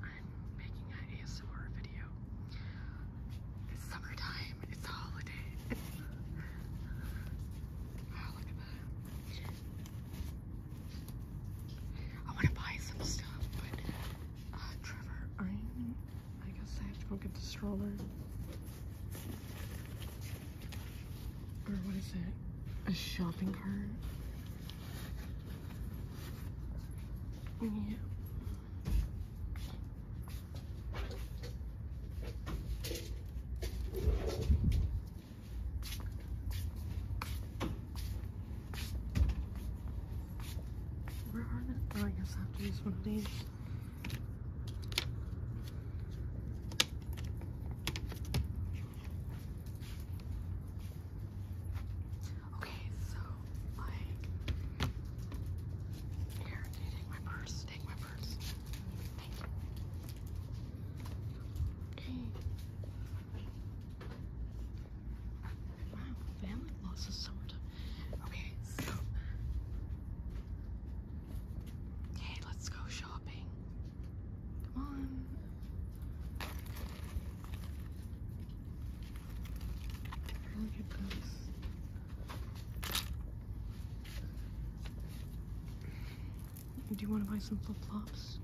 I'm making an ASMR video. It's summertime, it's a holiday. I want to buy some stuff, but uh, Trevor, I'm I guess I have to go get the stroller. Or what is it? A shopping cart? Yeah. Where are the, oh, I guess I have to use one of these. Okay, so my here, take my purse? Take my purse. Thank you. Okay. Wow, family losses Okay, so Okay, let's go shopping. Come on. Look at those. Do you want to buy some flip flops?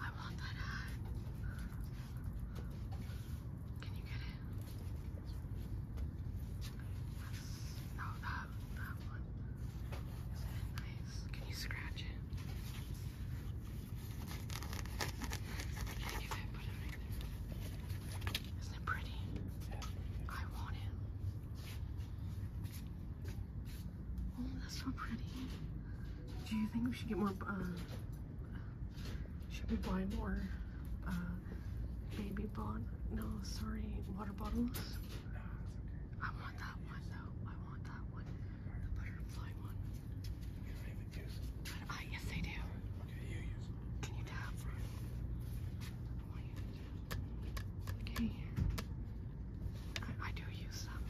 I want that can you get it? That's, no, that, that one. Isn't it nice? Can you scratch it? if I put it right there. Isn't it pretty? I want it. Oh, that's so pretty. Do you think we should get more should we buy more uh, baby bottles? No, sorry, water bottles. I want that one though. I want that one. The butterfly one. You don't even uh, use it. I, yes, I do. Okay, you use it. Can you tap? Okay. I, do use them.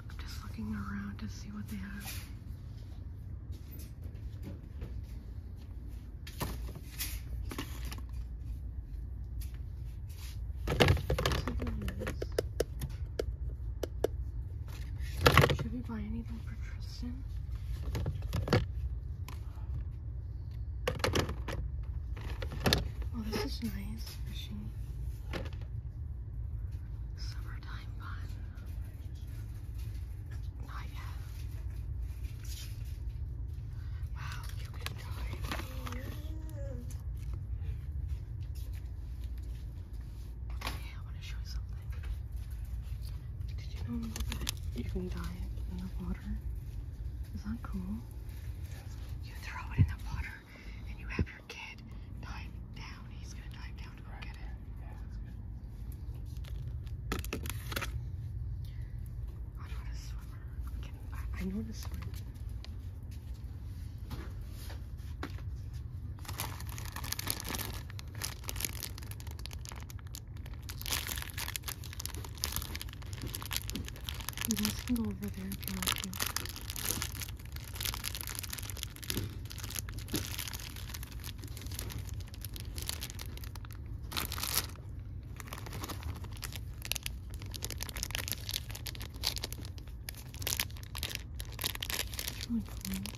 I'm just looking around to see what they have. Should we buy anything for Tristan? Oh, this is nice, Summertime fun. Wow, you can join Okay, I want to show you something. Did you know that you can dye in the water? Is that cool? You throw it in the water and you have your kid dive down. He's gonna dive down to go get it. I'm not I know how to swim. You guys can go over there if you want to. It's really cool.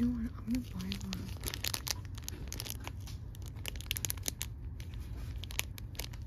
You know what? I'm gonna buy one.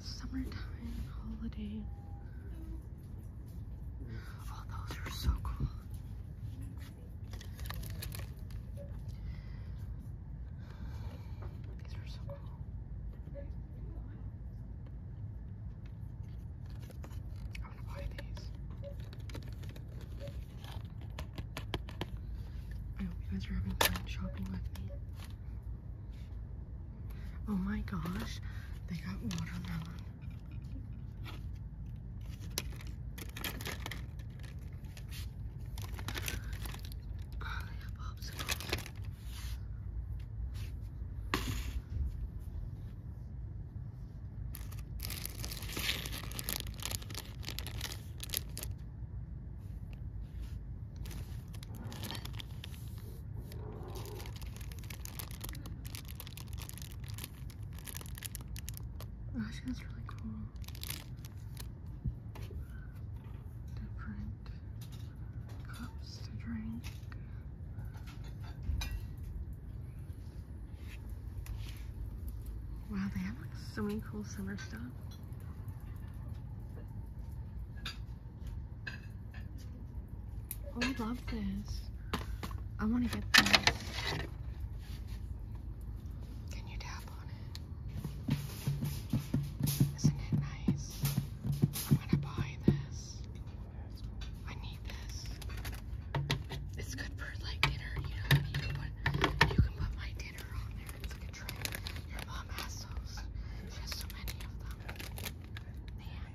Summertime holiday. Oh, those are so cool. These are so cool. I'm gonna buy these. I hope you guys are having fun shopping with me. Oh my gosh, they got watermelon. Oh, they popsicles. I oh, that's really cool. Different cups to drink. Wow, they have like so many cool summer stuff. Oh, I love this. I want to get this. Can you tap on it? Isn't it nice? I'm gonna buy this. I need this. It's good for like dinner, you can put, my dinner on there. It's a tray. Your mom has those. She has so many of them. Man.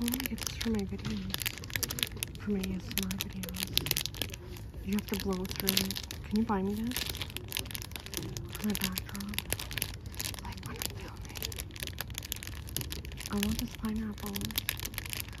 only get this for my videos, for my ASMR videos. You have to blow through it. Can you buy me this? For my backdrop? Like when I'm I want this pineapple.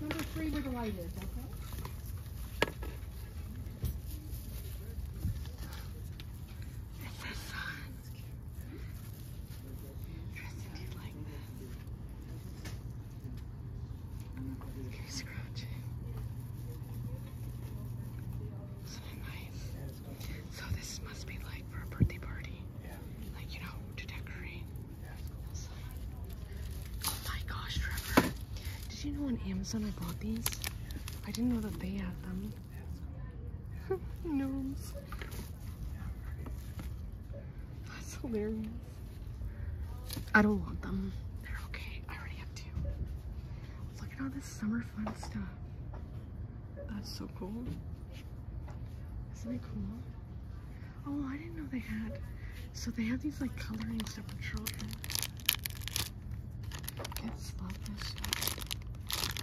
Number three where the light is, okay? So this must be like for a birthday party. Yeah. Like, you know, to decorate. Oh my gosh, Trevor. Did you know on Amazon I bought these? I didn't know that they had them. Gnomes. That's hilarious. I don't want them. They're okay. I already have two. Look at all this summer fun stuff. That's so cool. Isn't it cool? Oh, I didn't know they had. So they have these like coloring stuff for children. Kids love this stuff.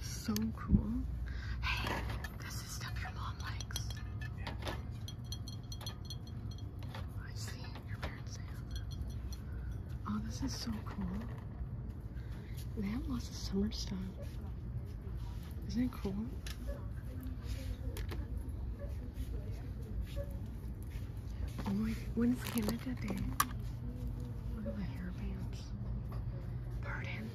So cool. Hey, this is stuff your mom likes. Yeah. I see. Your parents say. Oh, this is so cool they have lots of summer stuff. Isn't it cool? Oh my, when's Canada Day? Look at the hairbands. Pardon?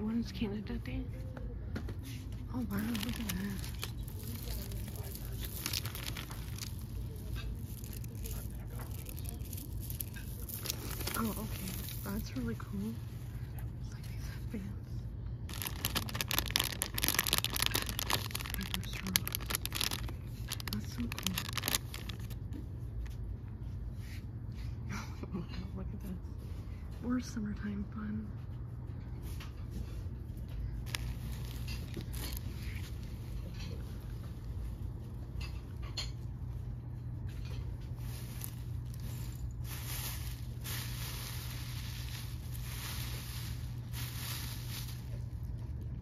When's Canada Day? Oh wow, look at that. Oh, okay. That's really cool. It's like these headbands. That's so cool. Look at this. Or summertime fun.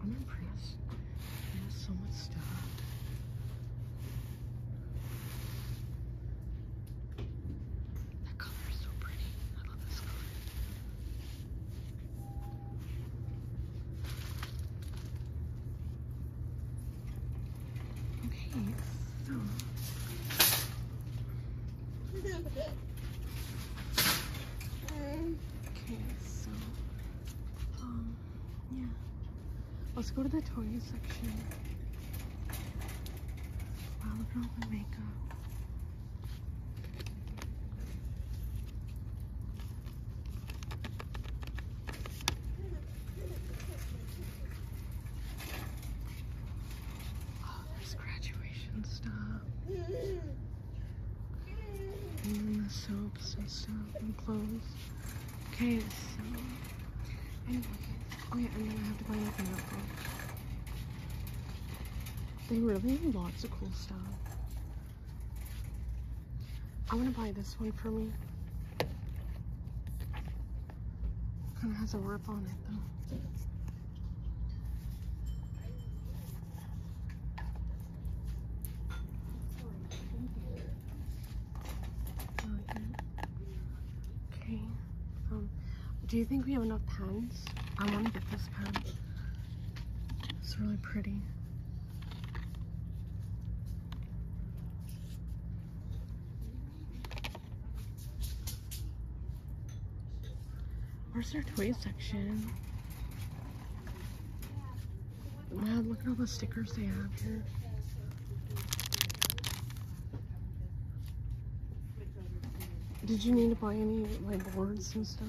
I'm impressed. He has so much stuff. That color is so pretty. I love this color. Okay, so. Um, okay, so. Um, yeah. Let's go to the toy section. Wow, look at all my makeup. Oh, there's graduation stuff. And mm, the soaps and stuff and clothes. Okay, so anyways. Oh yeah, I'm going have to buy like They really have lots of cool stuff. I'm gonna buy this one for me. Kind of has a rip on it though. Okay. Um, do you think we have enough pens? I want to get this pen. It's really pretty. Where's their toy section? Wow, look at all the stickers they have here. Did you need to buy any like boards and stuff?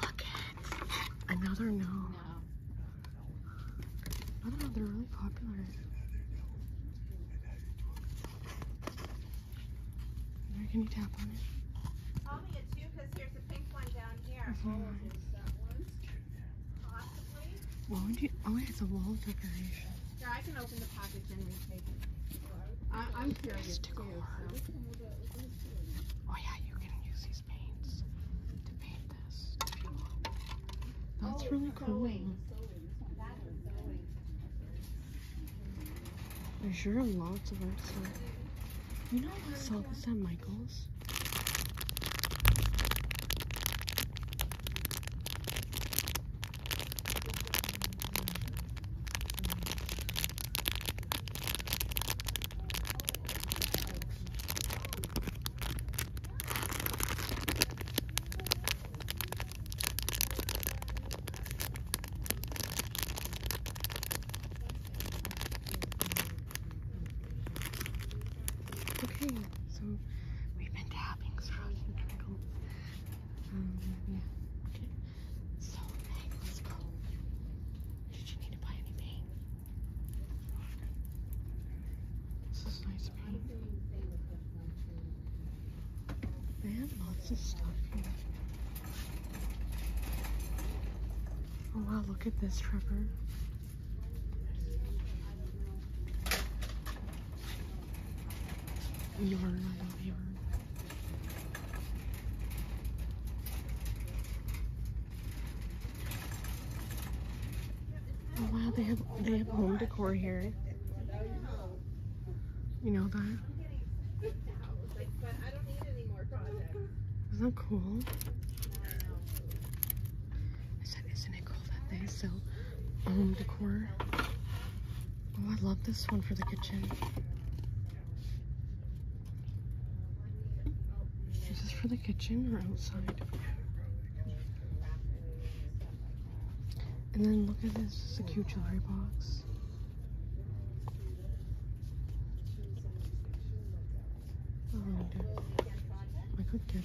Look at another no. no. Another no, they're really popular. Where can you tap on it? Call me a two because here's a pink one down here. Mm -hmm. oh, Oh, it's a wall decoration. Here, I can open the package and retake it. I, am curious too. So. Oh yeah, you can use these paints to paint this That's oh, really cool. There's sure lots of art stuff. You know I saw this at Michael's? Okay, so we've been tapping throughout the um, yeah. Okay. So that was cool. Did you need to buy anything? This is nice paint. lots of stuff here. Oh wow, look at this, Trevor. Yarn, I love yarn. Oh wow, they have they have home decor here. You know that? Isn't that cool? I said, isn't it cool that they sell home decor? Oh, I love this one for the kitchen. Is this for the kitchen or outside? And then look at this, this a cute jewelry box. I could get it.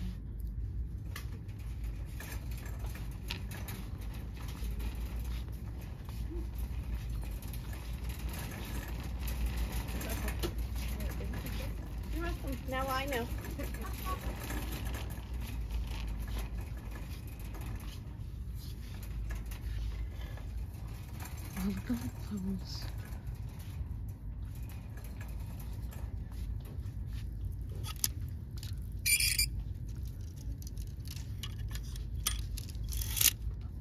You're welcome. Now I know. Oh, look at those.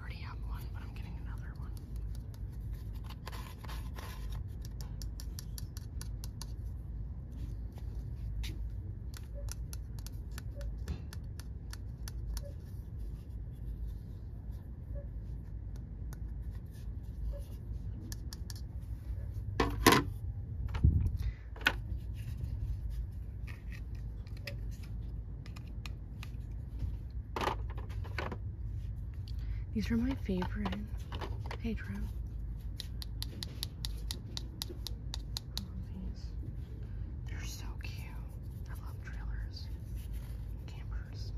already have one, but I'm getting another one. These are my favorite. Hey, Drew. They're so cute. I love trailers, campers.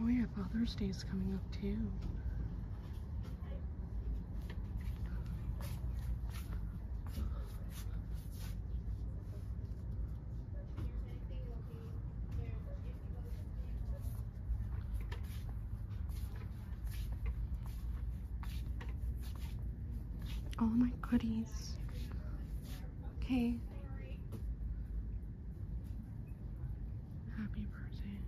Oh yeah, Father's Day is coming up too. All my goodies. Okay. Happy birthday.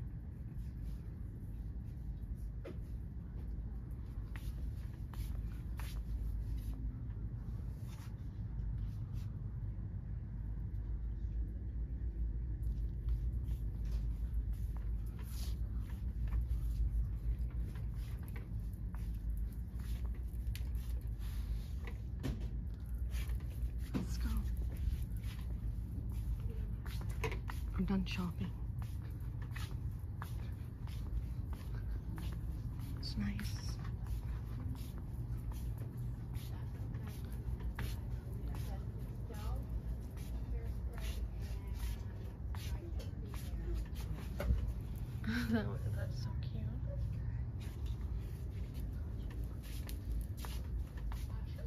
Let's go. I'm done shopping. It's nice. that's so cute.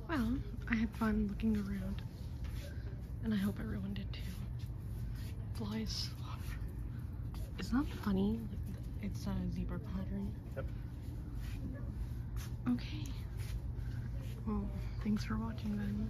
Well, I had fun looking around, and I hope everyone did too. Flies. is not that funny. It's a zebra pattern. Yep. Okay. Well, thanks for watching, then.